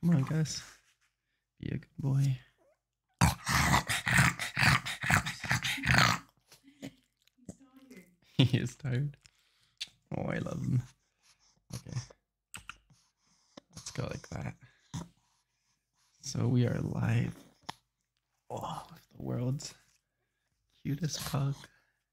Come on, guys. Be a good boy. he is tired. Oh, I love him. Okay. Let's go like that. So we are live. Oh, the world's cutest pug.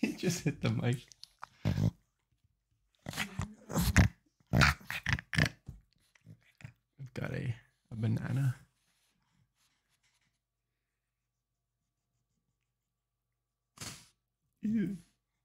he just hit the mic. I've got a, a banana. Ew.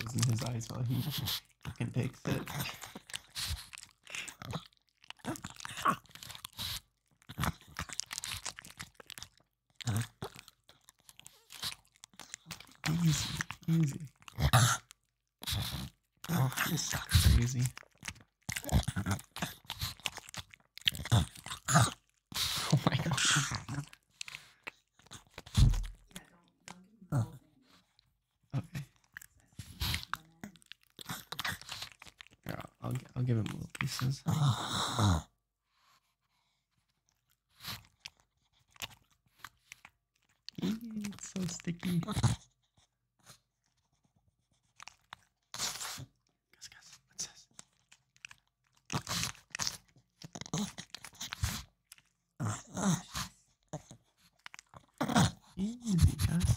He's closing his eyes while he fucking takes it. Easy, easy. Oh, this crazy. oh my gosh. Oh. Okay. I'll, I'll, I'll give him little pieces. it's so sticky. Guess, guess. What's this? Easy, guys.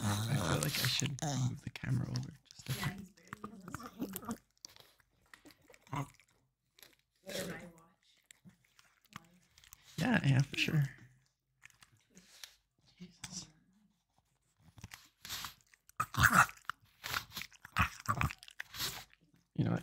I feel uh, like I should uh. move the camera over just a bit. Yeah, yeah, for sure. You know what?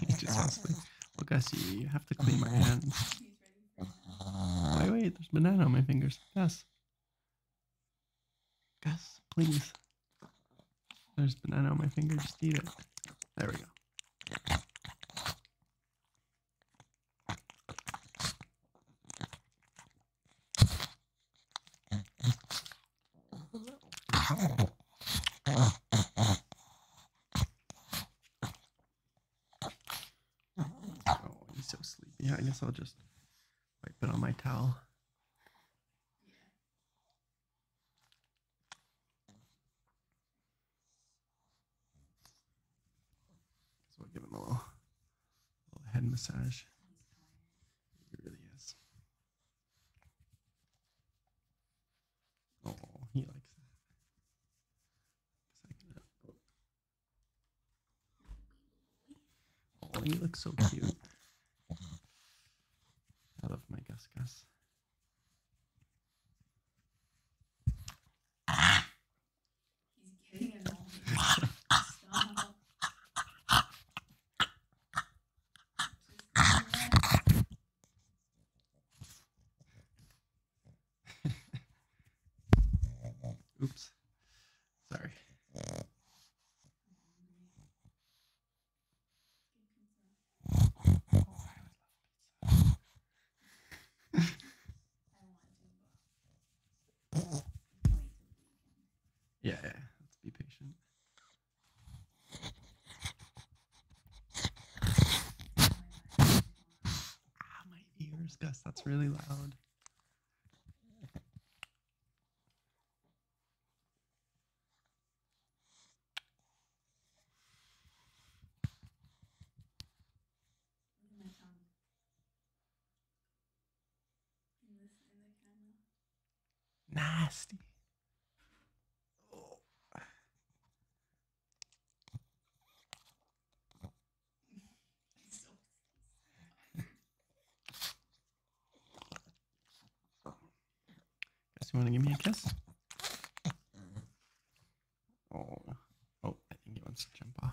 he just wants to. Look, I see you. have to clean my hands. Uh-huh. Wait, wait, there's banana on my fingers. Gus. Gus, please. There's banana on my finger. Just eat it. There we go. Oh, he's so sleepy. I guess I'll just wipe it on my towel. So i give him a little, little head massage. He really is. Oh, he likes that. Oh, he looks so cute. I love my Gus Gus. Oops. Sorry. yeah, yeah, let's be patient. Ah, my ears, Gus, that's really loud. Nasty. Oh. Guess you want to give me a kiss? Oh, oh, I think he wants to jump off.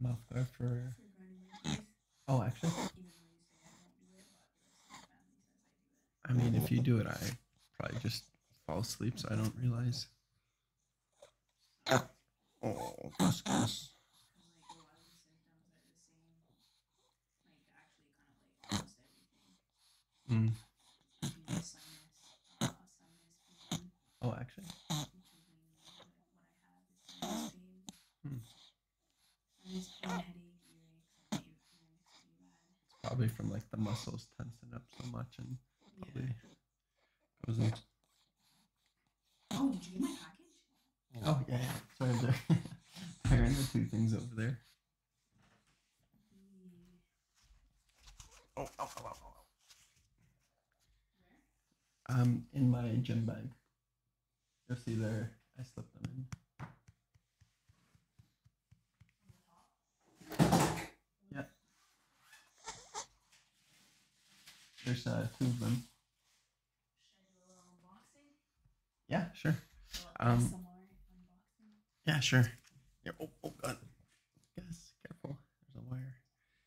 I'm up there for. Oh, actually. I mean, if you do it, I probably just fall asleep, so I don't realize. Oh, hmm. Oh, actually. Hmm. It's probably from like the muscles tensing up so much and probably yeah. goes in. Oh, did you get my package? Oh yeah, yeah. sorry there. there are the two things over there. Oh, oh, oh, oh, oh. Um, in my gym bag. You'll see there, I slipped them in. Yeah. There's uh, two of them. Yeah, sure. Um, yeah, sure. Yeah, oh, oh, God. Guys, careful. There's a wire.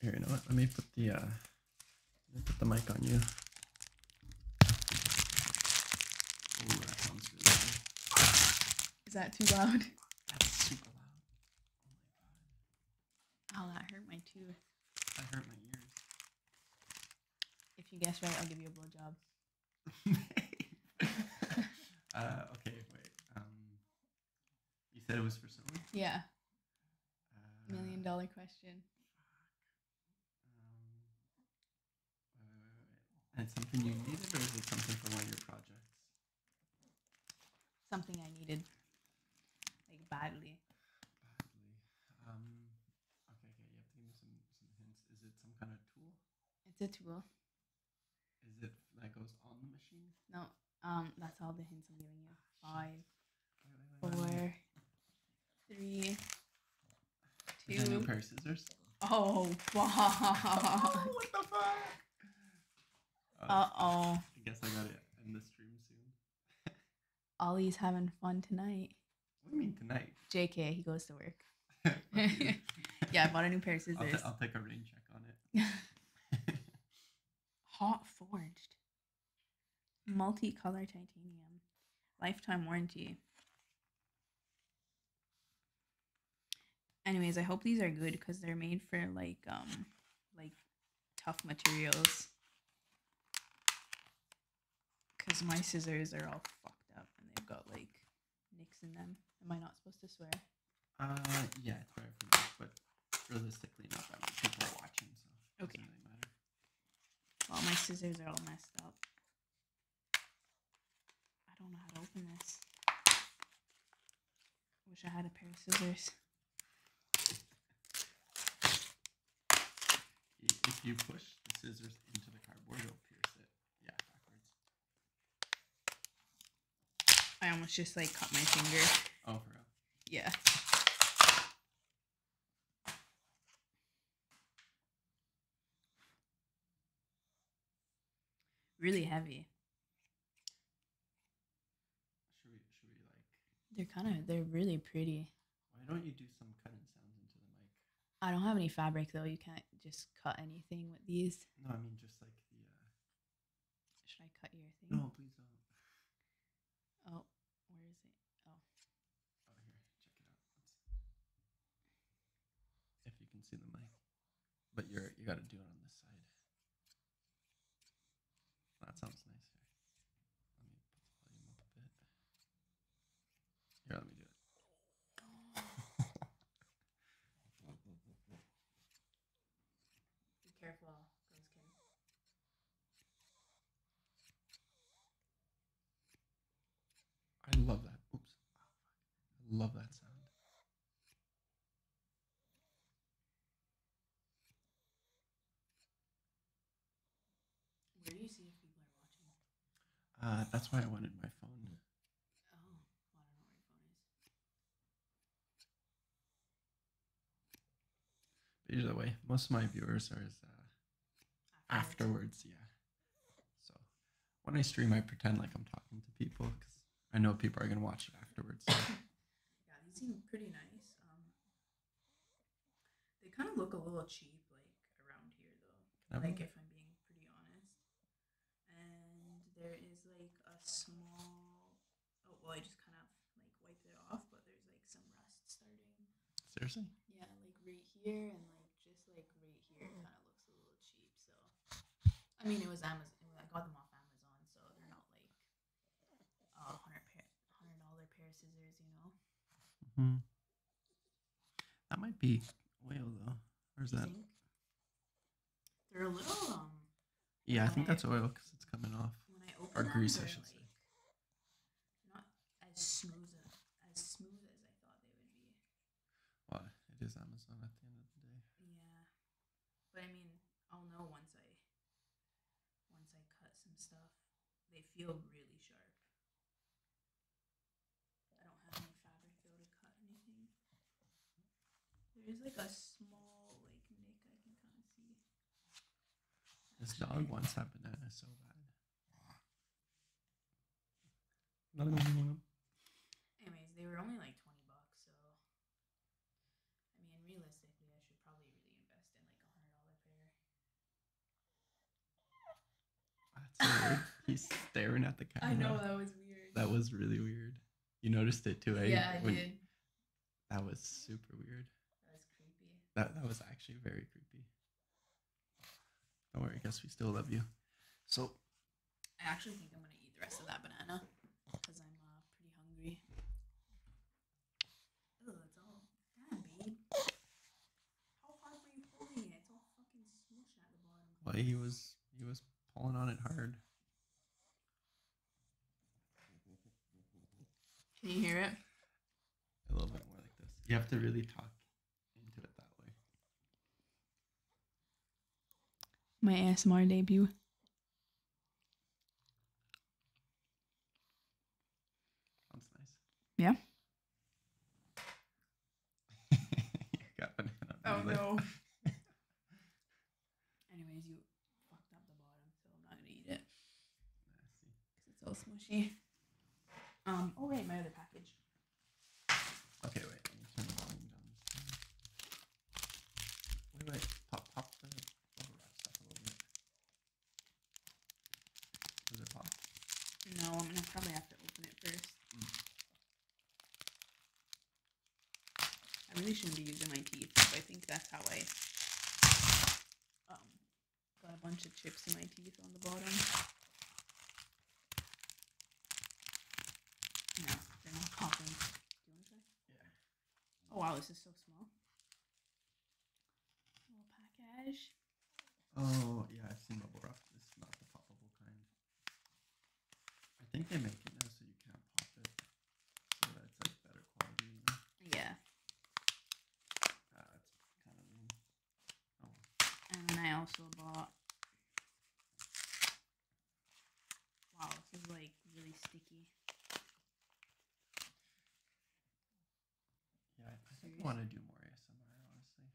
Here, you know what? Let me put the uh, let me put the mic on you. Is that too loud? That's super loud. Oh that hurt my tooth. That hurt my ears. If you guess right, I'll give you a blowjob. uh, okay, wait. Um, you said it was for someone? Yeah. Uh, Million dollar question. Um, wait, wait, wait, and something you needed, or is it something for one of your projects? Something I needed, like badly. Badly. Um, okay, okay. You have to give me some some hints. Is it some kind of tool? It's a tool. Is it that goes on the machine? No, um, that's all the hints I'm giving you. Five, wait, pair of scissors? Oh, fuck. what the fuck? Uh oh. I guess I got it in the stream soon. Ollie's having fun tonight. What do you mean tonight? JK, he goes to work. yeah, I bought a new pair of scissors. i I'll take a rain check on it. Hot forged. multi color titanium. Lifetime warranty. Anyways, I hope these are good because they're made for like um like tough materials. Cause my scissors are all fucked up and they've got like nicks in them. Am I not supposed to swear? Uh, yeah, it's better for but realistically, not that many people are watching, so okay. Well, my scissors are all messed up. I don't know how to open this. Wish I had a pair of scissors. If you push the scissors into the cardboard, it'll pierce it. Yeah, backwards. I almost just like cut my finger. Oh, for Yeah. Really heavy. Should we, should we like? They're kind of they're really pretty. Why don't you do some cutting sounds into the mic? I don't have any fabric though. You can't just cut anything with these. No, I mean just like the. Uh should I cut your thing? No, please don't. Oh, where is it? Oh. oh here, check it out. If you can see the mic, but you're you got to do it on this side. That sounds nicer. Let me put the volume up a bit. Here, let me do it. Be careful, I love that. Oops. I love that sound. Where do you see people are watching? Uh, that's why I wanted my phone. Oh, I don't know where your either way, most of my viewers are uh, as, afterwards, yeah. So when I stream, I pretend like I'm talking to people because I know people are gonna watch it afterwards. yeah, these seem pretty nice. Um, they kind of look a little cheap, like around here though. Can like if I'm being pretty honest. And there is like a small Oh well, I just kind of like wiped it off, but there's like some rust starting. Seriously? Yeah, like right here and like just like right here, kind of looks a little cheap. So, I mean, it was Amazon. I got them off Amazon, so they're not like a hundred uh, hundred hundred dollar pair of scissors, you know. Mm-hmm. That might be whale though, Where's that? They're a little um yeah, I think that's oil because it's coming off. When or grease, I should say. Well, it is Amazon at the end of the day. Yeah, but I mean, I'll know once I once I cut some stuff. They feel really sharp. I don't have any fabric to cut anything. There is like a small like nick I can kind of see. This dog wants that banana so bad. Anyways, they were only like 20 bucks, so I mean, realistically, I should probably really invest in like a hundred dollar pair. That's weird. He's staring at the camera. I know that was weird. That was really weird. You noticed it too, eh? Yeah, I did. That was super weird. That was creepy. That that was actually very creepy. Don't worry, I guess we still love you. So I actually think I'm gonna eat the rest of that banana because I'm uh, pretty hungry. Ew, it's all damn, babe. How hard were you pulling it? It's all fucking smushed at the bottom. Well, he was he was pulling on it hard. Can you hear it? A little bit more like this. You have to really talk into it that way. My ASMR debut. Sounds nice. Yeah. you got banana. Oh no. Anyways, you fucked up the bottom, so I'm not gonna eat it. Nasty. Because it's all smushy. Um, oh wait, my other package. Okay, wait. Let me turn the volume down Wait, wait. Pop, pop the bubble oh, wrap a little bit. Does it pop? No, I'm gonna probably have to open it first. Hmm. I really shouldn't be using my teeth, I think that's how I um, got a bunch of chips in my teeth on the bottom. No, they're not popping. Do you want to try? Yeah. Oh wow, this is so small. Little package. Oh yeah, I've seen bubble wrap. This is not the poppable kind. I think they make it now so you can't pop it. Yeah. And then I also bought. Wow, this is like really sticky. Yeah, I want to do more ASMR, honestly.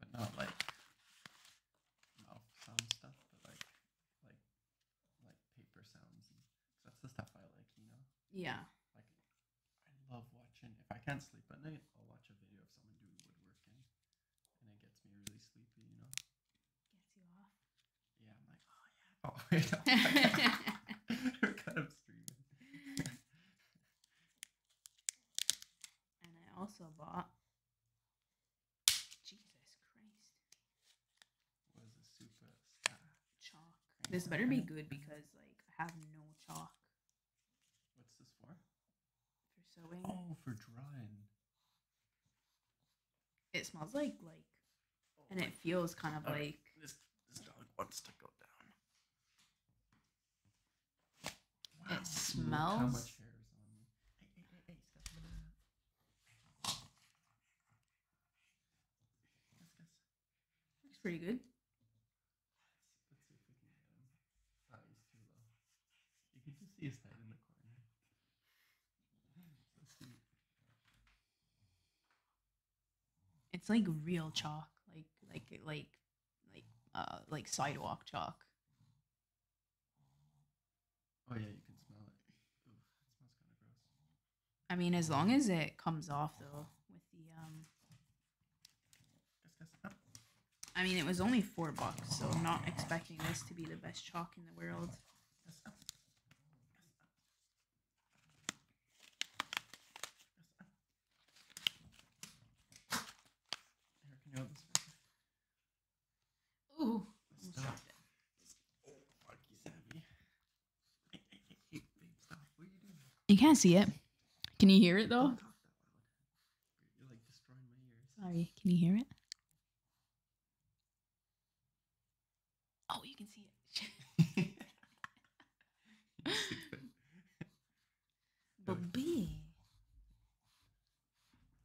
But not like mouth sound stuff, but like like like paper sounds. that's the stuff I like, you know? Yeah. Like, I love watching. If I can't sleep at night, I'll watch a video of someone doing woodworking. And it gets me really sleepy, you know? Gets you off. Yeah, I'm like, oh, yeah. Oh, wait. Oh, We're kind of streaming. and I also bought. Jesus Christ. This better be good because like I have no chalk. What's this for? For sewing. Oh, for drawing. It smells like like, oh and it feels kind of like. This dog wants to go down. It smells. Looks pretty good. It's like real chalk, like like like like uh, like sidewalk chalk. Oh yeah, you can smell it. it smells kind of gross. I mean, as long as it comes off though with the um. Oh. I mean, it was only four bucks, so I'm not expecting this to be the best chalk in the world. Oh. Oh. Ooh, you can't see it. Can you hear it though? Sorry, can you hear it? Oh, you can see it. but B.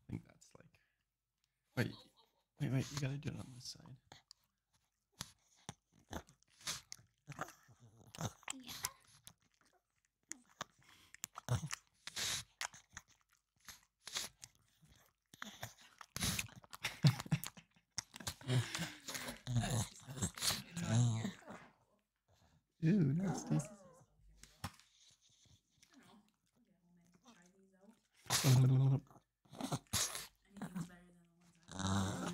I think that's like Wait, wait, wait, you gotta do it on this side. Ew, nasty. Anything's better than the ones I've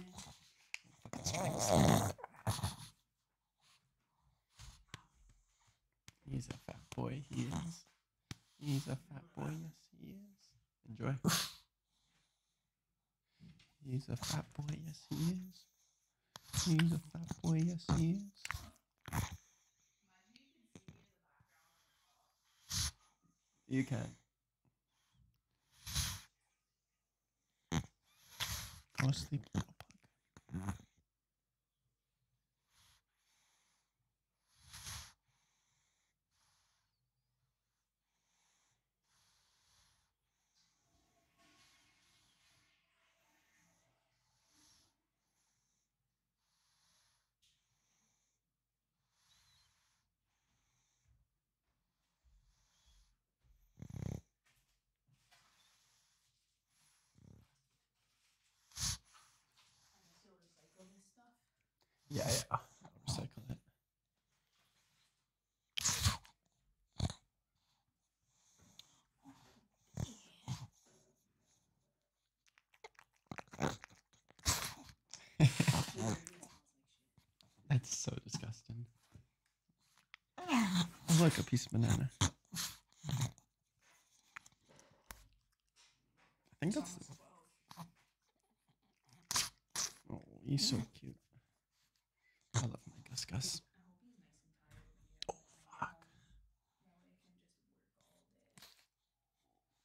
anyway. He's a fat boy, he is. He's a fat boy, yes he is. Enjoy. He's a fat boy, yes he is. He's a fat boy, yes he is. You can. Want to sleep? Yeah, yeah. recycle it. That's so disgusting. Oh, look, a piece of banana. I think that's. The... Oh, he's so cute. I love my Gus Gus. Oh, fuck.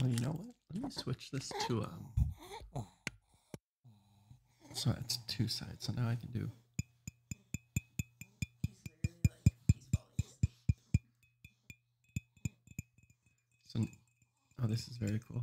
Well, oh, you know what? Let me switch this to um. So it's two sides. So now I can do. So, oh, this is very cool.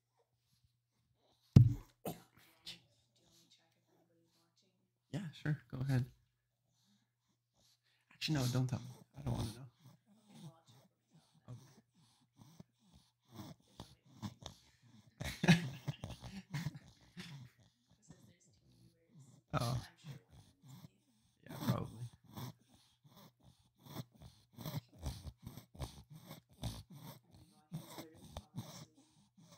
Yeah, sure. Go ahead. Actually, no, don't tell me. I don't want to know. oh. Yeah, probably.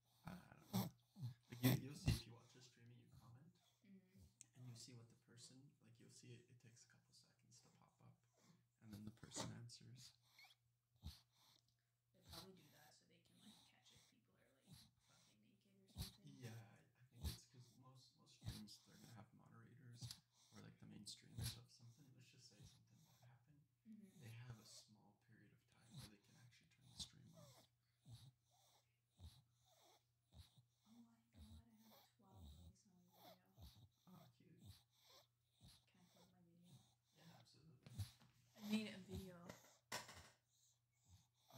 I, don't know. Like you, will see if you watch a stream and you comment, mm-hmm. and you see what the person like. You'll see it. It takes a couple seconds to pop up, and then the person answers. They probably do that so they can like catch if people are like fucking naked or something. Yeah, I think it's because most most streams they're gonna have moderators or like the main streamers of something. Let's just say something bad happened. Mm-hmm. They have a small period of time where they can actually turn the stream off. Oh my god, I have 12 links Oh, cute. Can I plug my video? Yeah, absolutely. I need a video.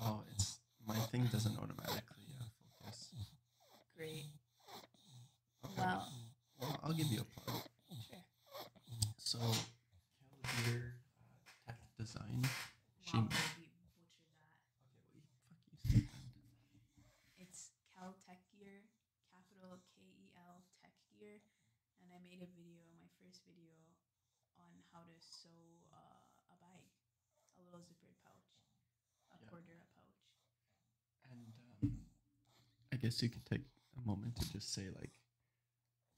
Oh, it's my thing doesn't automatically uh, focus. Great. Well, I'll give you a plug. Sure. So Cavalier uh, tech design. It's Cal Tech Gear, capital K E L Tech Gear, and I made a video, my first video, on how to sew uh, a bag, a little zippered pouch, a yeah. quarter a pouch. And um, I guess you could take a moment to just say like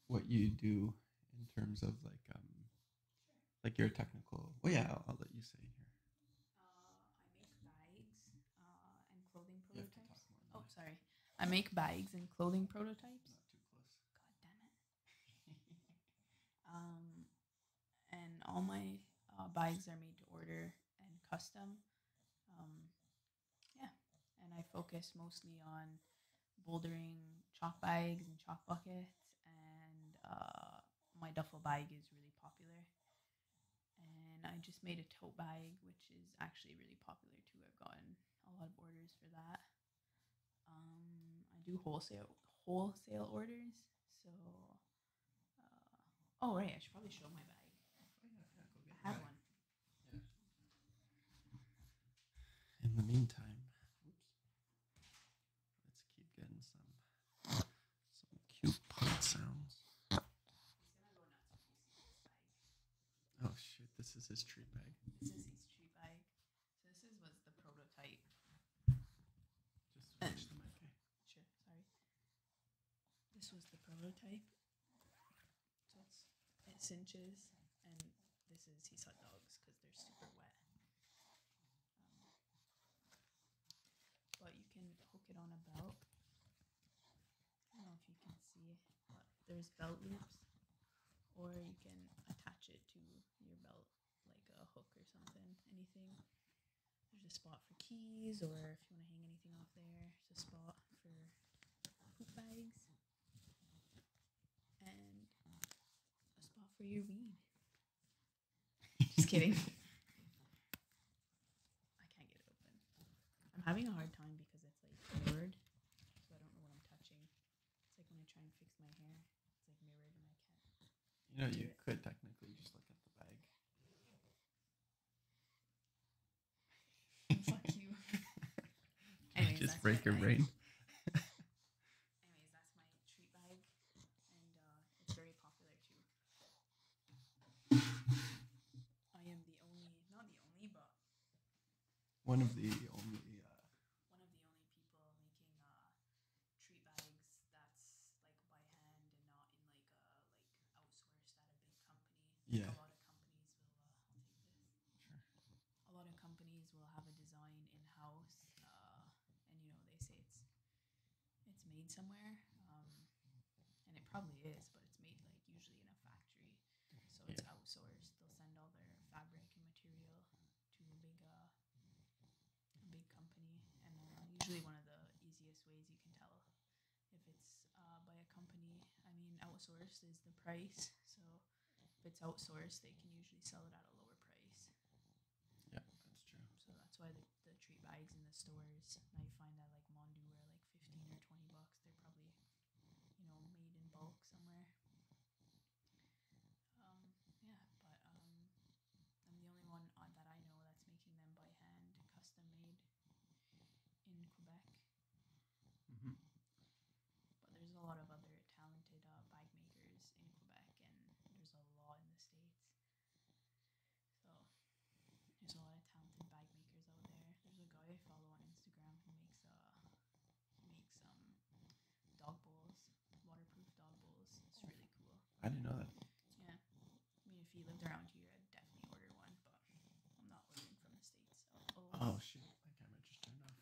what you do in terms of like um like your technical oh yeah I'll, let you say here uh, i make bags uh, and clothing prototypes oh sorry i make bags and clothing prototypes god damn it um and all my uh, bags are made to order and custom um yeah and i focus mostly on bouldering chalk bags and chalk buckets, and uh, my duffel bag is really popular. And I just made a tote bag, which is actually really popular too. I've gotten a lot of orders for that. Um, I do wholesale wholesale orders, so. Uh, oh right, I should probably show my bag. I have one. In the meantime, Let's keep getting some some cute pod sounds. Oh shoot, This is his tree bag. This is his tree bag. So this is what the prototype. Just switch them, okay? Sure. Sorry. This was the prototype. So it's, it's inches and this is he's hot dogs because they're super wet. Um, but you can hook it on a belt. I don't know if you can see, but there's belt loops, or you can attach it to your belt like a hook or something. Anything. There's a spot for keys, or if you want to hang anything off there, it's a spot for poop bags a spot for your weed. Just kidding. I can't get it open. I'm having a hard time because it's like mirrored, so I don't know what I'm touching. It's like when I try and fix my hair, it's like mirrored and I can't. You know, you could technically just look at the bag. Fuck you. Anyways, just break your brain. Anyways, that's my treat bag, and uh, it's very popular too. I am the only, not the only, but one of the only. Uh, one of the only people making uh, treat bags that's like by hand and not in like a like outsourced at a big company. yeah. A lot of companies will uh, Sure a lot of companies will have a design in house, uh, and you know they say it's it's made somewhere, um, and it probably is, but it's made like usually in a factory, so it's yeah. outsourced. They'll send all their fabric and material to a big uh, a big company, and uh, usually one of the easiest ways you can tell if it's uh, by a company. I mean, outsourced is the price, so if it's outsourced, they can usually sell it at a lower price. Yeah, that's true. So that's why the, the treat bags in the stores now you find that like Mondu are like fifteen or twenty bucks. They're probably, you know, made in bulk somewhere. Um, yeah, but um, I'm the only one that I know that's making them by hand, custom made in Quebec. Mm-hmm but there's a lot of other talented uh, makers in Quebec, and there's a lot in the states. So there's a lot of talented bike makers out there. There's a guy I follow on Instagram who makes uh makes um dog bowls, waterproof dog bowls. It's really cool. I didn't know that. Yeah, I mean, if he lived around here, I'd definitely order one, but I'm not ordering from the states. Oh, oh. shit! My camera just turned Wow.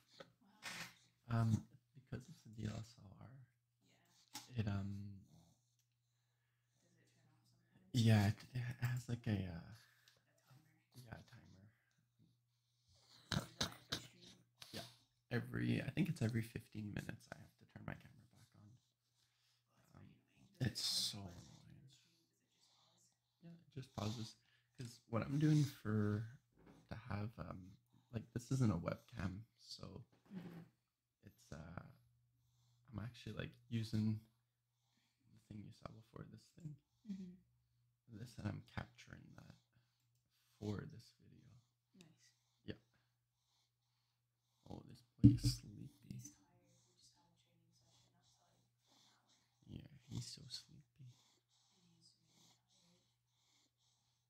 Um, because it's a DSLR. It um. Yeah, it, has like a. Uh, yeah, timer. Yeah, every I think it's every fifteen minutes I have to turn my camera back on. Um, it's so annoying. Yeah, it just pauses because what I'm doing for to have um, like this isn't a webcam, so mm-hmm. it's uh, I'm actually like using the thing you saw before this thing, mm-hmm. this, and I'm capturing that for this video. Nice. Yeah. Oh, this place is sleepy. yeah, he's so sleepy.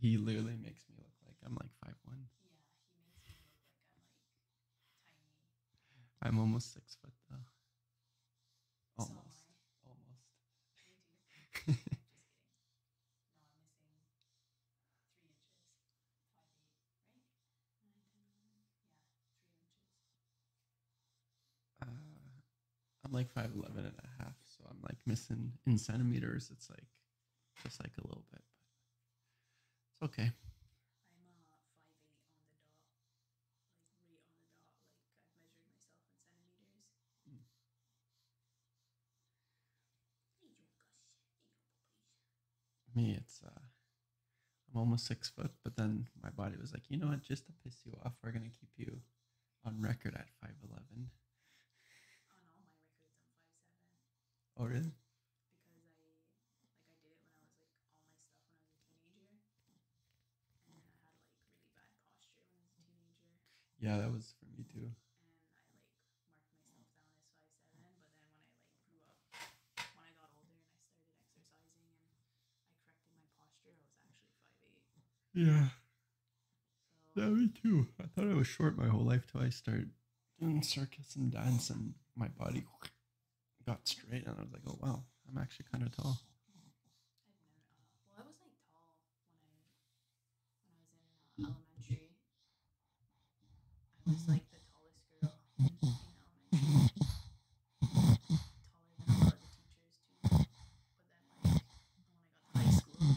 He literally makes me look like I'm like five one. Yeah, he makes me look like I'm like tiny. I'm almost six foot though. Almost. So almost. Me too. Uh, I'm like 5'11 and a half, so I'm like missing in centimeters. It's like just like a little bit, but it's okay. Uh, hmm. Me, it's uh, I'm almost six foot, but then my body was like, you know what? Just to piss you off, we're gonna keep you on record at five eleven. five seven. Oh really? Because I like I did it when I was like all my stuff when I was a teenager, and I had like really bad posture when I was a teenager. Yeah, that was for me too. And I like marked myself down as five seven, but then when I like grew up, when I got older and I started exercising and I corrected my posture, I was actually five eight. Yeah. yeah, me too. I thought I was short my whole life till I started doing circus and dance, and my body got straight, and I was like, oh wow, I'm actually kind of tall. well, I was like tall when I was in uh, elementary. I was like the tallest girl in, elementary. Taller than a the teachers when I got high school,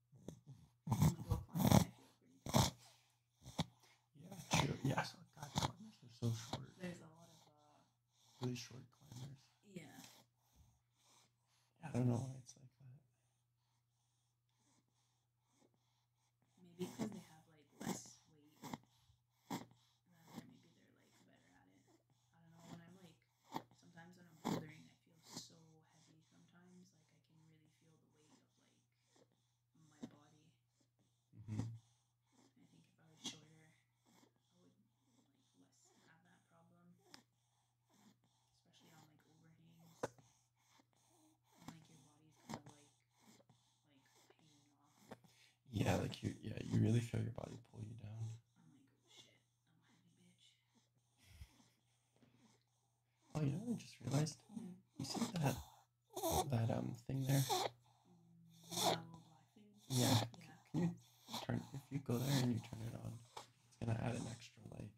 Yeah, sure. Yes. Oh, climbers are so short. There's a lot of uh, really short climbers. Yeah. I don't know why it's like that. Maybe because they have like less weight. And maybe they're like better at it. I don't know. When I'm like sometimes when I'm bouldering, I feel so heavy sometimes. Like, I can really feel the weight of, like, my body. Mm-hmm. I think if I was shorter, I would, like, less have that problem. Especially on, like, overhangs. like, your body's kind like, like, hanging off. Yeah, like, you, yeah, you really feel your body pull you down. Oh, you know, I just realized you see that that um thing there. Mm, yeah. Can you turn if you go there and you turn it on, it's gonna add an extra light.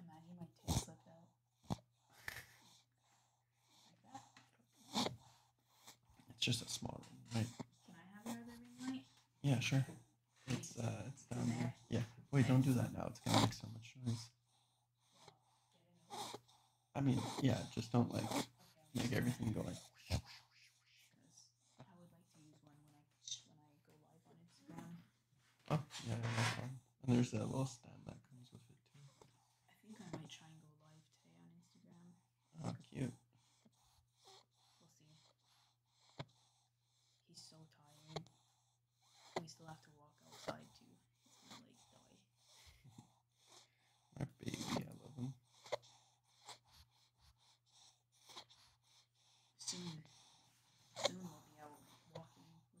Imagine my tail slipped out. Like that. It's just a small room, right? Can I have your other light? Yeah, sure. It's uh, it's down there. Yeah. Wait, don't do that now. It's gonna make so much noise. I mean, yeah, just don't like make everything go like. Oh yeah, And there's that little stand that comes with it too. Oh, cute. We'll see. He's so tired. We still have to walk outside too. He's gonna My baby, I love him. Soon, soon we'll be out walking without him in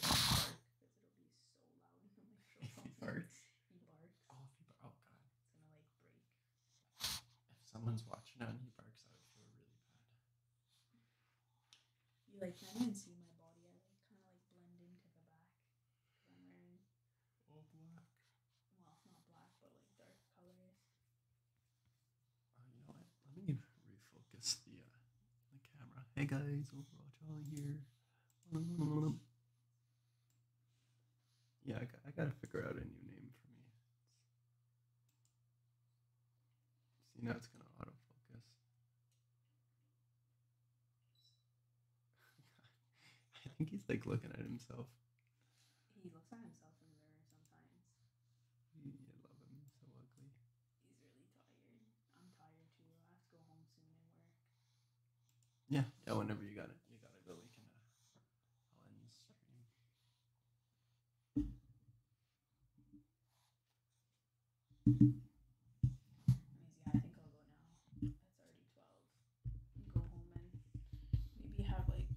Hopefully he barks. Oh, if oh, god. If someone's watching out and he barks, I would feel really bad. You like not even see my body. I like kind of like blend into the back. I'm wearing Oh black. Well, not black, but like dark colors. Oh, you know what? Let me refocus the uh, the camera. Hey guys, overall Charlie here. Yeah, I, got, to figure out a new name for me. see now it's gonna autofocus. I think he's like looking at himself. He looks at himself in the mirror sometimes. You love him, so ugly. He's really tired. I'm tired too. I have go home soon Yeah, yeah. Whenever you got it, you gotta go. can. I'll end I think I'll go now. It's already twelve go home and maybe have like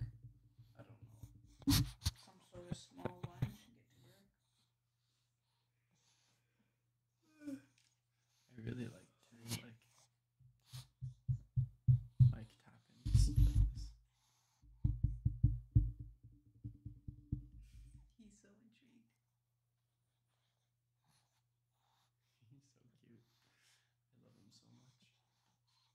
I don't know some sort of small lunch I really like to like like tapping. He's so intrigued. He's so cute. I love him so much.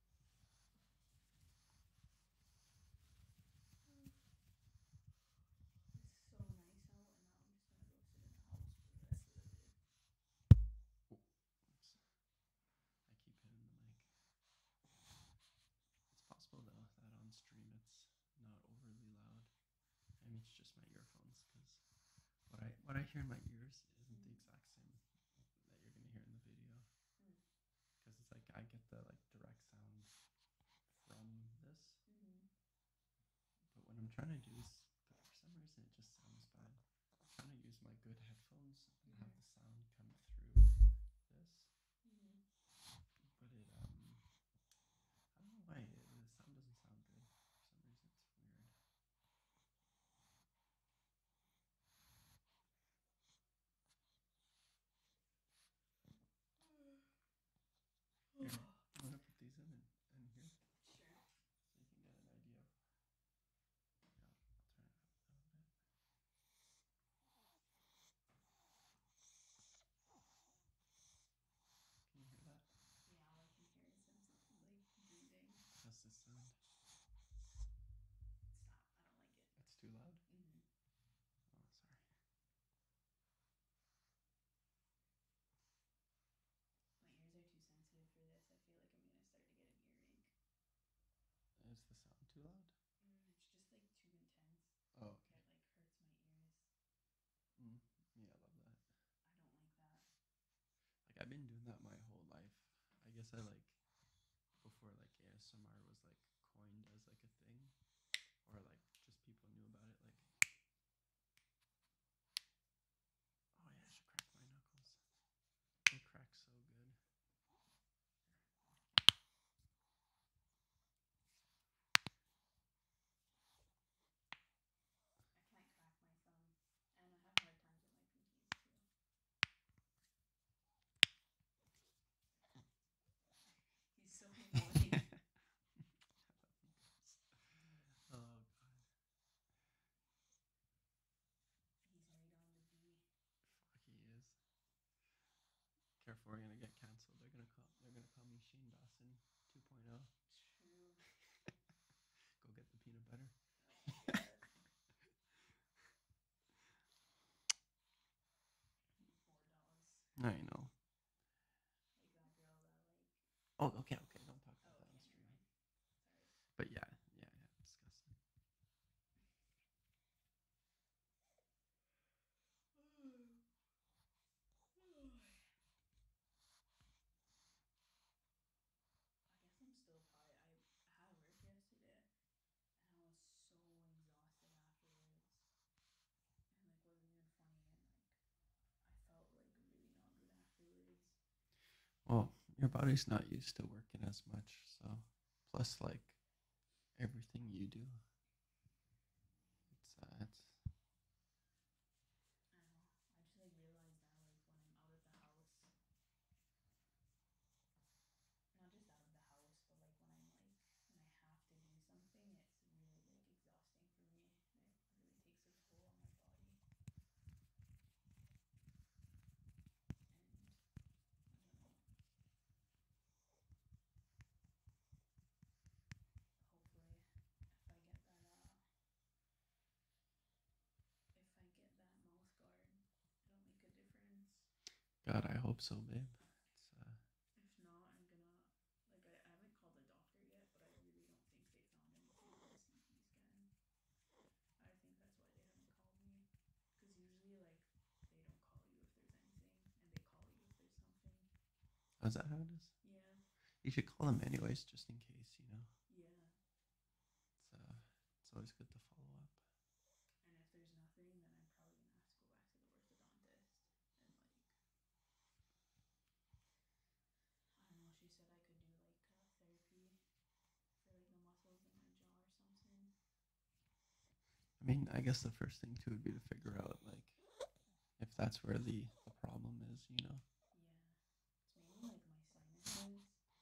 It's possible that on stream it's not overly loud. I it's just my earphones because what I what I hear in my ears isn't the exact same that you're gonna hear in the video because hmm. it's like I get the like direct sound from this, mm-hmm. but what I'm trying to do is for some reason it just sounds bad. trying to use my good headphones and mm-hmm. the sound come through this, mm-hmm. but it um I don't know why the sound doesn't sound good for some reason. It's weird. Here, I'm gonna put these in and, and here. Sure. So you can get an idea. Yeah, I'll turn it up a little bit. Can you hear that? Yeah, all I can hear is something like How's this sound? Stop. I don't like it. That's too loud? Mm-hmm. Oh, sorry. My ears are too sensitive for this. I feel like I'm going to start to get an earache. Is the sound too loud? Mm, it's just like too intense. Oh. Okay. like hurts my ears. Mm, yeah, I love that. I don't like that. Like I've been doing that my whole life. I guess I like before like ASMR was like coined as like a thing, or like just people knew about it. Like, oh yeah, I should crack my knuckles. They crack so good. I can't crack my phone, and I have hard times with my pinkies too. oh god. Fuck, he is. Careful, we're gonna get canceled. They're gonna call. They're gonna call me Shane Dawson 2.0. True. Go get the peanut butter. I know. Oh, okay, okay. Don't talk about that on But yeah, yeah, yeah. Disgusting. I guess I'm still tired. I had work yesterday and I was so exhausted afterwards. And like wasn't even funny and like I felt like really not good afterwards. Well, your body's not used to working as much, so plus like everything you do. It's uh it's I know. realized that like when I'm out of the house not just out of the house, but like when I'm like when I have to do something, it's really like exhausting for me. It really takes a toll on my body. And I don't know. Hopefully, if I get that uh, God, I hope so, babe. Uh, if not, I'm gonna like I, haven't called the doctor yet, but I really don't think they found him through the CT scan. I think that's why they haven't called me, because usually like they don't call you if there's anything, and they call you if there's something. How's that how it is? Yeah. You should call them anyways, just in case, you know. Yeah. It's uh, it's always good to follow up. And if there's nothing, then I'm probably gonna have to go back to the orthodontist and like I don't know. She said I could do like uh, therapy for like the muscles in my jaw or something. I mean, I guess the first thing too would be to figure out like if that's where the, the problem is, you know. Yeah, it's maybe like my sinuses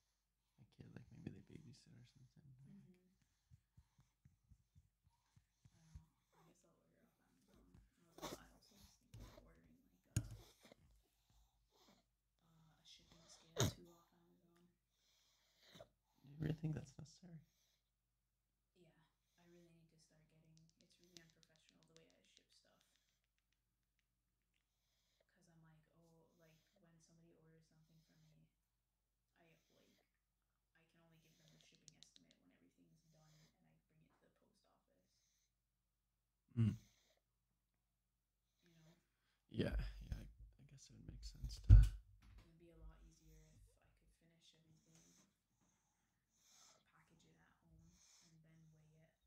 a kid, like maybe they babysit or something. Mm-hmm. Do uh, you really think that's necessary? Yeah, I really need to start getting. It's really unprofessional the way I ship stuff because I'm like, oh, like when somebody orders something from me, I like I can only give them the shipping estimate when everything is done and I bring it to the post office. Mm. You know. Yeah, yeah. I, I guess it would make sense to. It would be a lot easier if I could finish everything, uh, package it at home, and then weigh it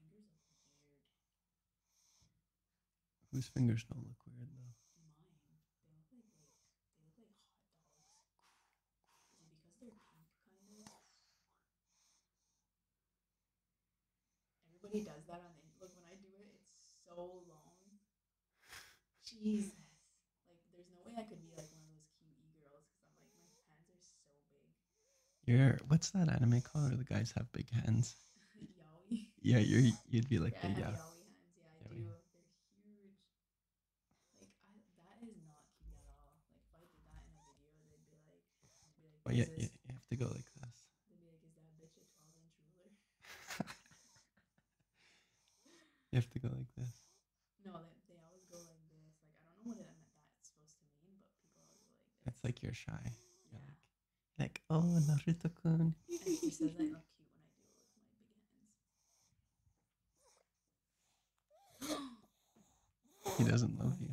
my fingers Whose fingers don't look weird though? Mine. They look like, they look like hot dogs. Is it because they're pink kind of? Everybody does that on the look when I do it, it's so long. Jesus. Like there's no way I could be like one of those cute girls because I'm like my hands are so big you what's that anime called where the guys have big hands? Yeah, you you'd be like yeah, the Yaoi hands, yeah, you, have to go like this. you have to go like this. No, they always go like this. Like I don't know what that, that's supposed to mean, but it's like you're shy. Like, oh Naruto kun. he doesn't love you.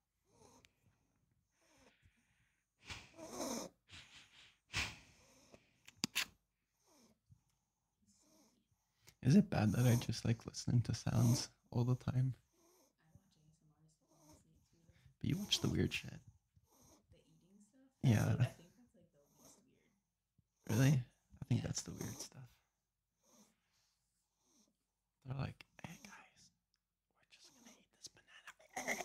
Is it bad that I just like listening to sounds all the time? But you watch the weird shit. yeah. Really? I think that's the weird stuff. They're like, hey guys, I have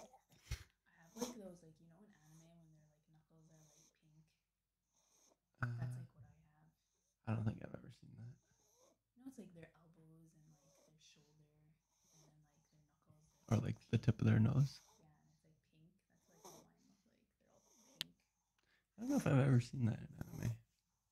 like those, like you know, in anime when their like knuckles are like pink. That's uh, like what I have. I don't think I've ever seen that. No, it's like their elbows and like their shoulder and like their knuckles. Or like the tip of their nose. Yeah, and it's pink. That's like what mine like. They're all pink. I don't know if I've ever seen that in anime.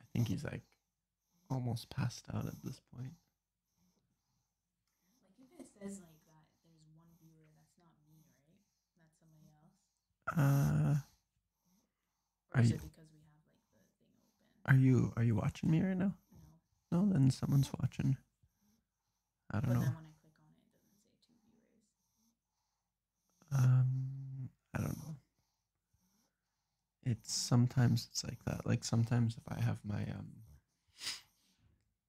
I think he's like almost passed out at this point. Like if it says like that, there's one viewer. That's not me, right? That's somebody else. Uh. Or are you? Because we have like the thing open. Are you Are you watching me right now? No, then someone's watching. I don't know. Um, I don't know. It's sometimes it's like that. Like sometimes if I have my um,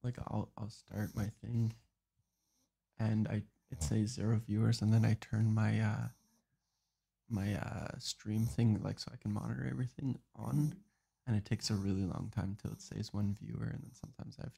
like I'll I'll start my thing, and I it says zero viewers, and then I turn my uh my uh stream thing like so I can monitor everything on, mm-hmm. and it takes a really long time till it says one viewer, and then sometimes I have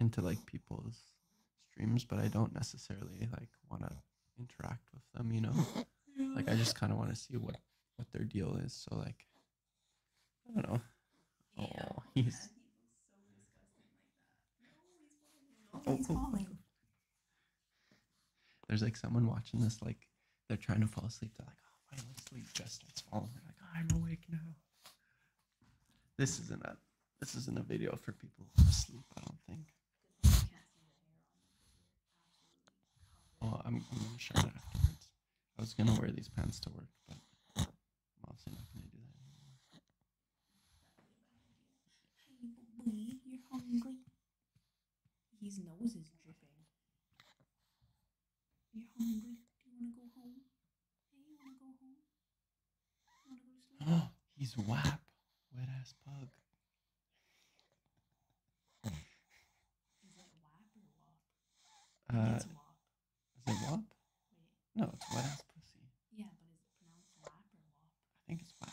into like people's streams, but I don't necessarily like want to interact with them, you know. like I just kind of want to see what what their deal is. So like, I don't know. Oh, he's. Oh, oh, oh, There's like someone watching this, like they're trying to fall asleep. They're like, "Oh, my sleep just starts falling." They're like, oh, "I'm awake now." This isn't a this isn't a video for people asleep. I don't think. Oh, I'm, gonna shut it afterwards. I was gonna wear these pants to work, but I'm obviously not gonna do that anymore. Hey, boy, you're hungry. His nose is dripping you hungry. Do you want to go home? Oh, he's whap. Wet ass pug. Is that whap or wop? Uh, it's wop. Is it wop? No, it's wet ass pussy. Yeah, but is it pronounced whap or wop? I think it's whap. I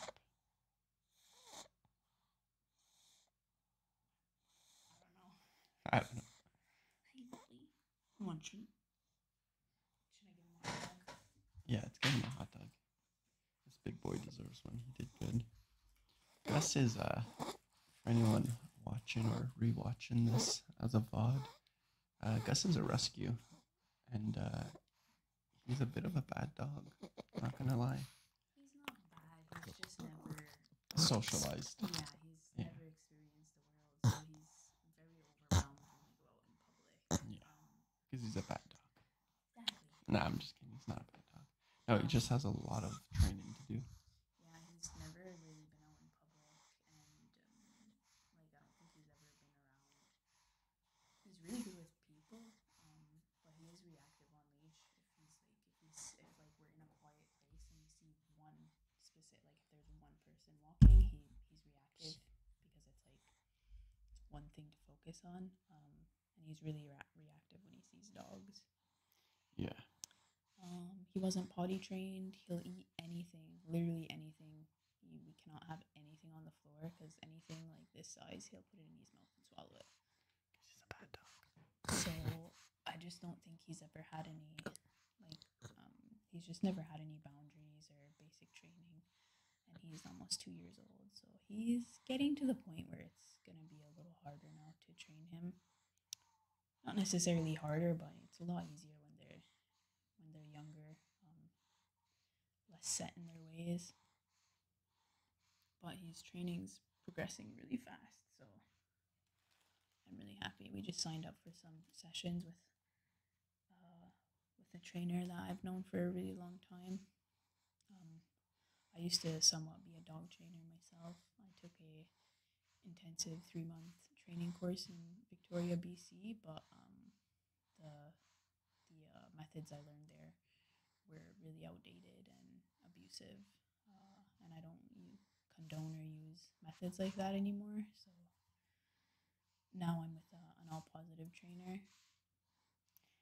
don't know. I don't know. Hey, buddy. you? Yeah, it's give him a hot dog. This big boy deserves one. He did good. Gus is uh for anyone watching or rewatching this as a VOD. Uh, Gus is a rescue and uh, he's a bit of a bad dog, not gonna lie. He's not bad, he's just never socialized. Yeah, he's never experienced the world, Yeah. Because um, he's a bad dog. Exactly. Nah, I'm just kidding. He's not a bad dog. No, he um, just has a lot of training to do. Yeah, he's never really been out in public, and um, like I don't think he's ever been around. He's really good with people, but he is reactive on leash. If he's like, if he's like we're in a quiet place and we see one specific, like if there's one person walking, he, he's reactive because it's like it's one thing to focus on. Um, and he's really re- reactive when he sees dogs. Yeah. Um, he wasn't potty trained. He'll eat anything, literally anything. He, we cannot have anything on the floor because anything like this size, he'll put it in his mouth and swallow it. He's a bad dog. So I just don't think he's ever had any like, um, he's just never had any boundaries or basic training. And he's almost two years old. So he's getting to the point where it's going to be a little harder now to train him. Not necessarily harder, but it's a lot easier when they're when they're younger, um, less set in their ways. But his training's progressing really fast, so I'm really happy. We just signed up for some sessions with uh, with a trainer that I've known for a really long time. Um, I used to somewhat be a dog trainer myself. I took a intensive three month training course in Victoria, BC, but um, the the uh, methods I learned there were really outdated and abusive, uh, and I don't condone or use methods like that anymore. So now I'm with uh, an all positive trainer.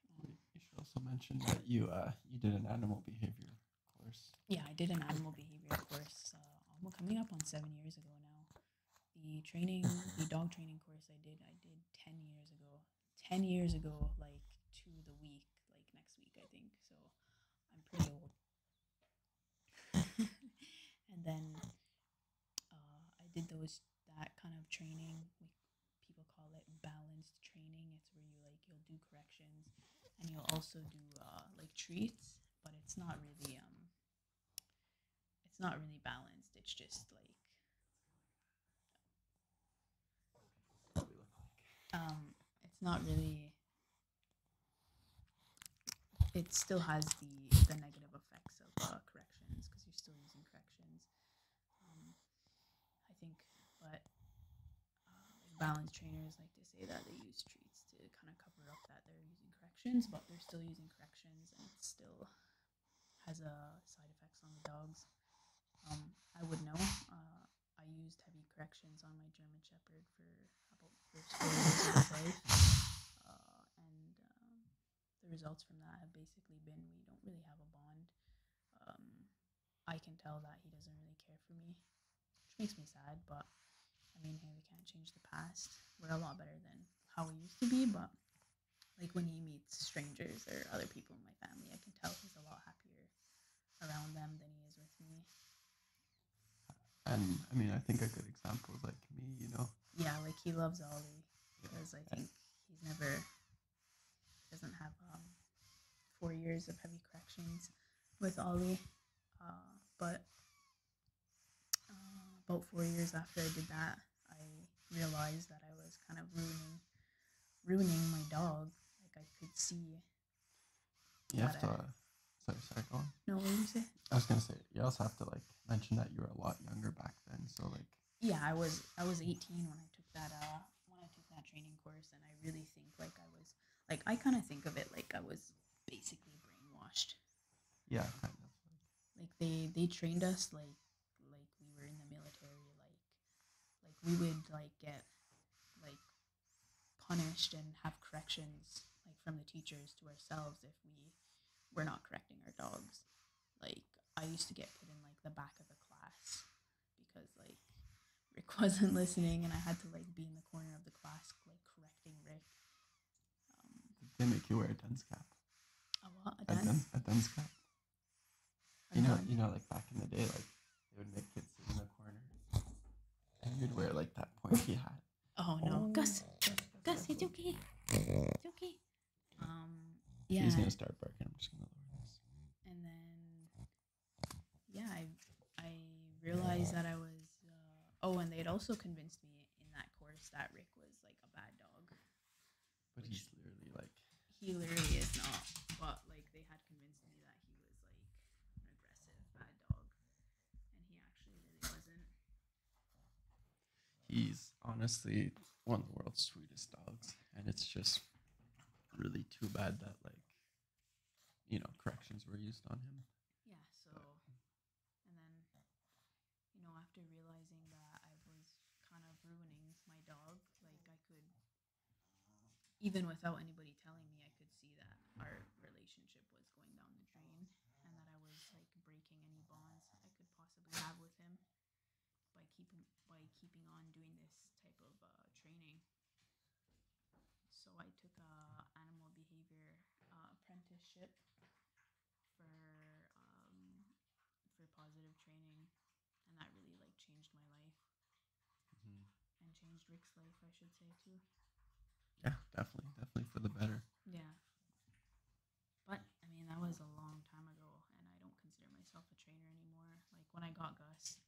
Um, you should also mention that you uh, you did an animal behavior course. Yeah, I did an animal behavior course. almost uh, coming up on seven years ago now. The training, the dog training course I did, I did ten years ago. Ten years ago, like to the week, like next week, I think. So I'm pretty old and then uh, I did those that kind of training. people call it balanced training. It's where you like you'll do corrections, and you'll also do uh, like treats, but it's not really um. It's not really balanced. It's just like. Um, it's not really it still has the, the negative effects of uh, corrections because you're still using corrections. Um, I think, but uh, balance trainers like to say that they use treats to kind of cover up that they're using corrections, but they're still using corrections and it still has a side effects on the dogs. Um, I would know. Uh, I used heavy corrections on my German Shepherd for about your experience with life. Uh, and um, the results from that have basically been we don't really have a bond. Um, I can tell that he doesn't really care for me, which makes me sad, but I mean, hey, we can't change the past. We're a lot better than how we used to be, but like when he meets strangers or other people in my family, I can tell he's a lot happier around them than he is with me and I mean, I think a good example is like me, you know. Yeah, like he loves Ollie because I think he's never doesn't have um, four years of heavy corrections with Ollie, uh, but uh, about four years after I did that, I realized that I was kind of ruining ruining my dog. Like I could see. You have so sorry, No, what were you saying? I was gonna say you also have to like mention that you were a lot younger back then. So like Yeah, I was I was eighteen when I took that uh, when I took that training course and I really think like I was like I kinda think of it like I was basically brainwashed. Yeah, Like they they trained us like like we were in the military, like like we would like get like punished and have corrections like from the teachers to ourselves if we we're not correcting our dogs. Like I used to get put in like the back of the class because like Rick wasn't listening, and I had to like be in the corner of the class like correcting Rick. Um, they make you wear a dunce cap. A what? A dunce, a dunce cap. A you know, you know, like back in the day, like they would make kids sit in the corner, and you'd wear like that pointy hat. Oh no, oh. Gus, Gus, it's okay. It's okay. Um, yeah. He's gonna start barking. I'm just gonna lower this. And then, yeah, I I realized that I was. Uh, oh, and they had also convinced me in that course that Rick was like a bad dog. But he's literally like. He literally is not. But like they had convinced me that he was like an aggressive bad dog, and he actually really wasn't. He's honestly one of the world's sweetest dogs, and it's just really too bad that like you know corrections were used on him. Yeah. So, and then you know after realizing that I was kind of ruining my dog, like I could even without anybody telling me, I could see that our relationship was going down the drain and that I was like breaking any bonds I could possibly have with him by keeping by keeping on doing this type of uh, training. So I took a animal behavior uh, apprenticeship for um, for positive training, and that really like changed my life mm-hmm. and changed Rick's life, I should say too. Yeah, definitely, definitely for the better. Yeah. But I mean, that was a long time ago, and I don't consider myself a trainer anymore. Like when I got Gus,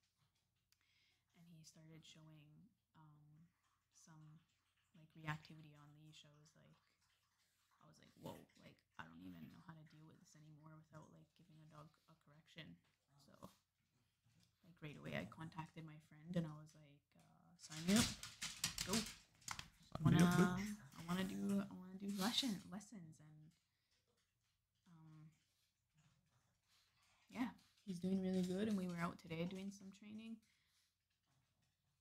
and he started showing um, some like reactivity on the shows, like I was like, whoa, like I don't even know how to deal with this anymore without like giving a dog a correction. So like right away, I contacted my friend, and I was like uh, sign up. Go. I wanna, I wanna do I wanna do lesson lessons and um, yeah, he's doing really good and we were out today doing some training.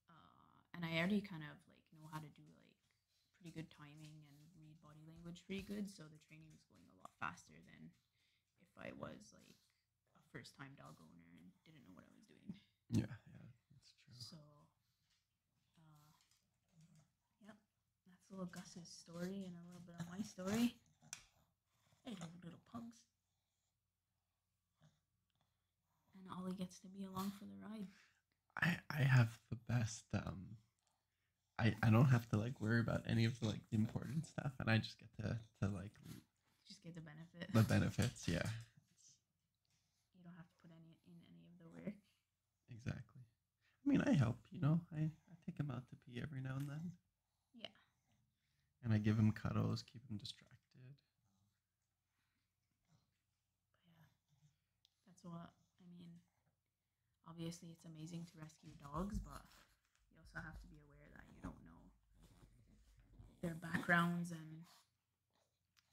Uh, and I already kind of like know how to do like pretty good timing and read body language pretty good, so the training is going a lot faster than if I was like a first time dog owner and didn't know what I was doing. Yeah, yeah, that's true. So, uh, yep, that's a little Gus's story and a little bit of my story. Hey, little pugs. And Ollie gets to be along for the ride. I, I have the best um I, I don't have to like worry about any of the like the important stuff and I just get to, to like just get the benefit. The benefits, yeah. you don't have to put any in any of the work. Exactly. I mean, I help. You know, I I take him out to pee every now and then. Yeah. And I give him cuddles, keep him distracted. yeah, that's what I mean. Obviously, it's amazing to rescue dogs, but you also have to be aware that you don't know their backgrounds and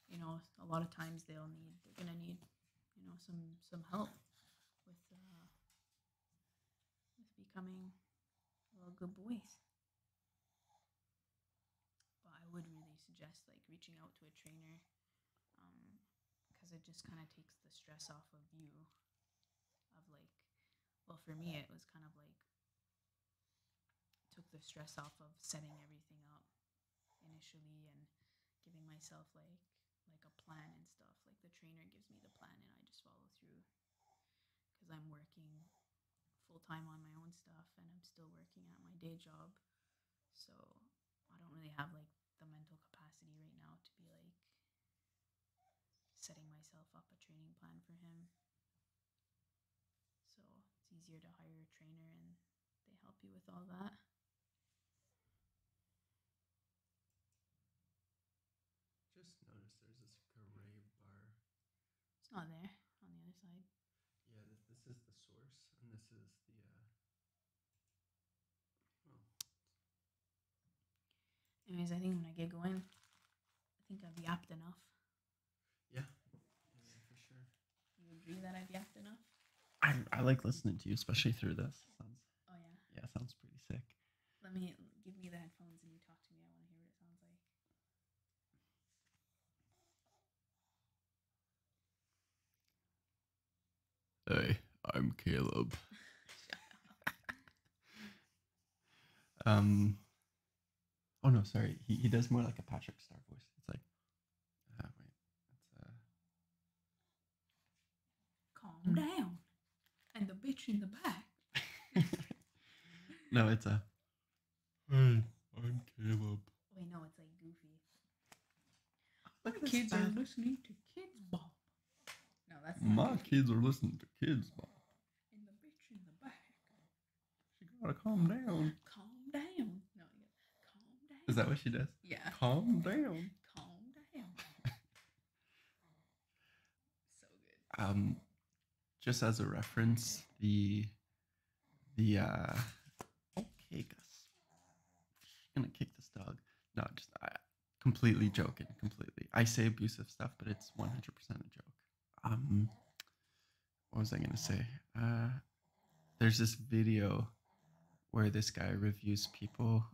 you know, a lot of times they'll need they're gonna need you know some some help with uh, with becoming little good boys. But I would really suggest like reaching out to a trainer um, because it just kind of takes the stress off of you. Of like, well, for me it was kind of like took the stress off of setting everything up initially and giving myself like like a plan and stuff. Like the trainer gives me the plan and I just follow through because I'm working full time on my own stuff and I'm still working at my day job. So I don't really have like the mental capacity right now to be like setting myself up a training plan for him. So it's easier to hire a trainer and they help you with all that. Just noticed there's this gray bar. It's not there on the other side. Yeah, this, is the source, and this is the. Uh, oh. Anyways, I think when I get going, I think I've yapped enough. Yeah. for sure. You agree that I've yapped enough? I, I like listening to you, especially through this. oh yeah. Yeah, sounds pretty sick. Let me give me the headphones and you talk to me. I want to hear what it sounds like. Hey, I'm Caleb. um, Oh no, sorry. He he does more like a Patrick Star voice. It's like, ah, wait, it's uh. Calm hmm. down, and the bitch in the back. no, it's a. Hey, I'm Caleb. Wait, no, it's like Goofy. My kids are listening to Kids Bob. No, that's my kids are listening to Kids Bob. And the bitch in the back. She gotta calm down. Calm down. No, calm down. Is that what she does? Yeah. Calm down. Calm down. so good. Um, just as a reference, the the uh, okay, Gus, I'm gonna kick this dog. No, just I, completely joking. Completely. I say abusive stuff, but it's 100% a joke. Um, what was I gonna say? Uh, there's this video where this guy reviews people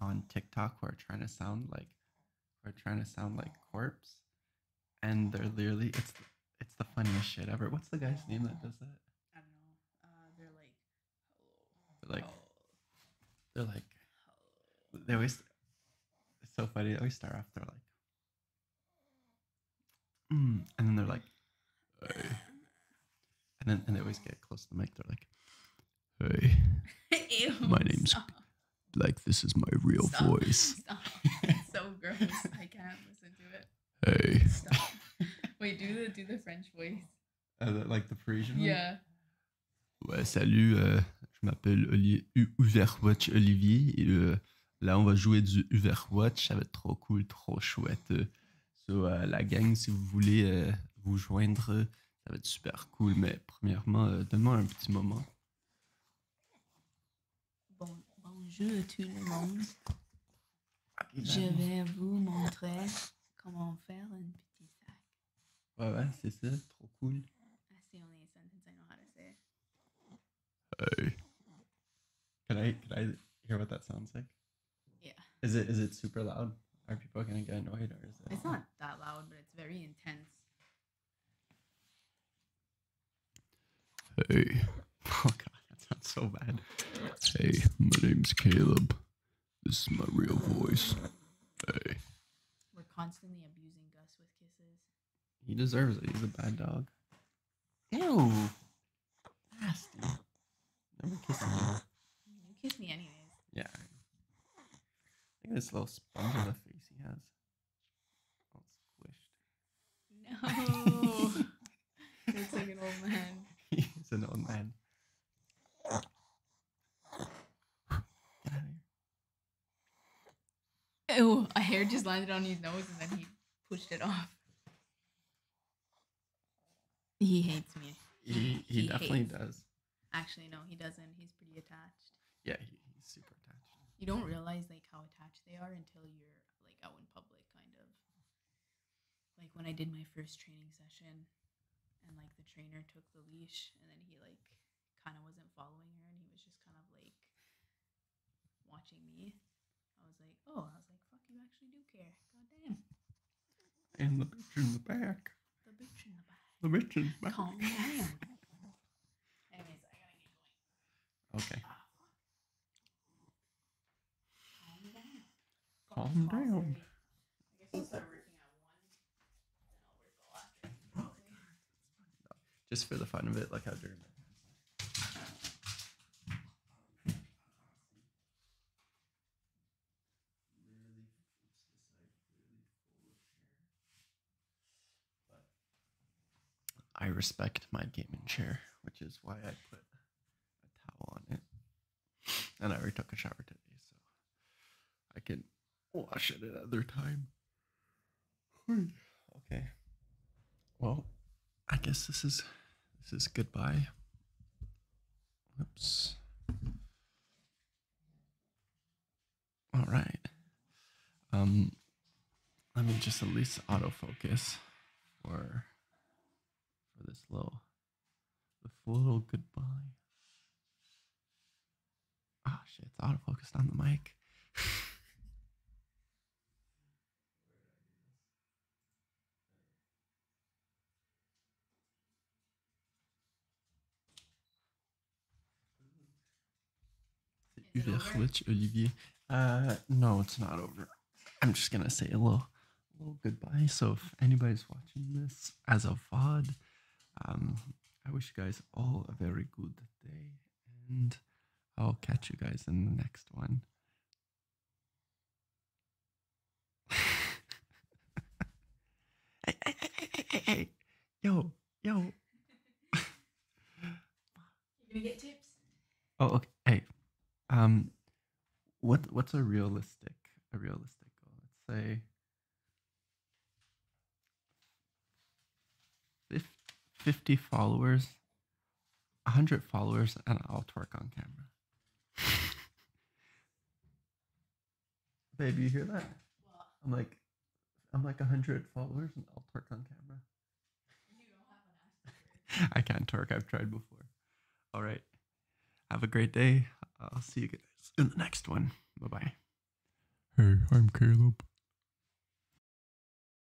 on TikTok who are trying to sound like who are trying to sound like corpse, and they're literally it's it's the funniest shit ever. What's the guy's name that does that? I don't know. Uh, they're like, oh, they're like, they're like, they always. so funny. They always start off. They're like, Mm, and then they're like, hey. and then and they always get close to the mic. They're like, hey, my name's like this is my real voice. so gross. I can't listen to it. Hey. Wait, do the do the French voice. Uh, like the Parisian Yeah. Ouais, salut, euh, je m'appelle Olivier, Olivier, Olivier Là, on va jouer du Overwatch. Ça va être trop cool, trop chouette. So, euh, la gang, si vous voulez euh, vous joindre, ça va être super cool. Mais premièrement, euh, demain un petit moment. bonjour tout le monde. Je vais vous montrer comment faire un petit sac. Ouais, ouais, c'est ça. Trop cool. Ah, Hey. Can I can I hear what that sounds like? Yeah. Is it is it super loud? Are people gonna get annoyed or is it? It's not that loud, but it's very intense. Hey. Oh god, that sounds so bad. Hey, my name's Caleb. This is my real voice. Hey. We're constantly abusing Gus with kisses. He deserves it. He's a bad dog. Ew. Nasty. Never kiss me. You kiss me anyways. Yeah. Look at this little sponge on the face he has. All squished. No. It's like an old man. He's an old man. Get out of here. Oh, a hair just landed on his nose and then he pushed it off. He hates me. He, he, definitely does. Actually, no, he doesn't. He's pretty attached. Yeah, he's super attached. You don't realize like how attached they are until you're like out in public, kind of. Like when I did my first training session, and like the trainer took the leash, and then he like kind of wasn't following her, and he was just kind of like watching me, I was like, oh, I was like, fuck, you actually do care. God damn. And the bitch in the back. The bitch in the back. The bitch in the back. Calm down. Okay. Ah, calm down just for the fun of it, like how dirty. I respect my gaming chair, which is why I put a towel on it. And I already took a shower today, so I can wash it another time. Hmm. Okay. Well, I guess this is this is goodbye. Oops. All right. Um, let me just at least autofocus for for this little this little goodbye. Ah, oh, shit! It's auto focused on the mic. Olivier. Uh, no, it's not over. I'm just gonna say a little, little goodbye. So if anybody's watching this as a VOD, um, I wish you guys all a very good day and I'll catch you guys in the next one. hey, hey, hey, hey, hey, yo, yo. Can we get tips? Oh, okay. Hey, um, what what's a realistic a realistic goal? Let's say. 50 followers 100 followers and I'll twerk on camera. Babe, you hear that? I'm like, I'm like 100 followers and I'll twerk on camera. I can't twerk. I've tried before. All right. Have a great day. I'll see you guys in the next one. Bye bye. Hey, I'm Caleb.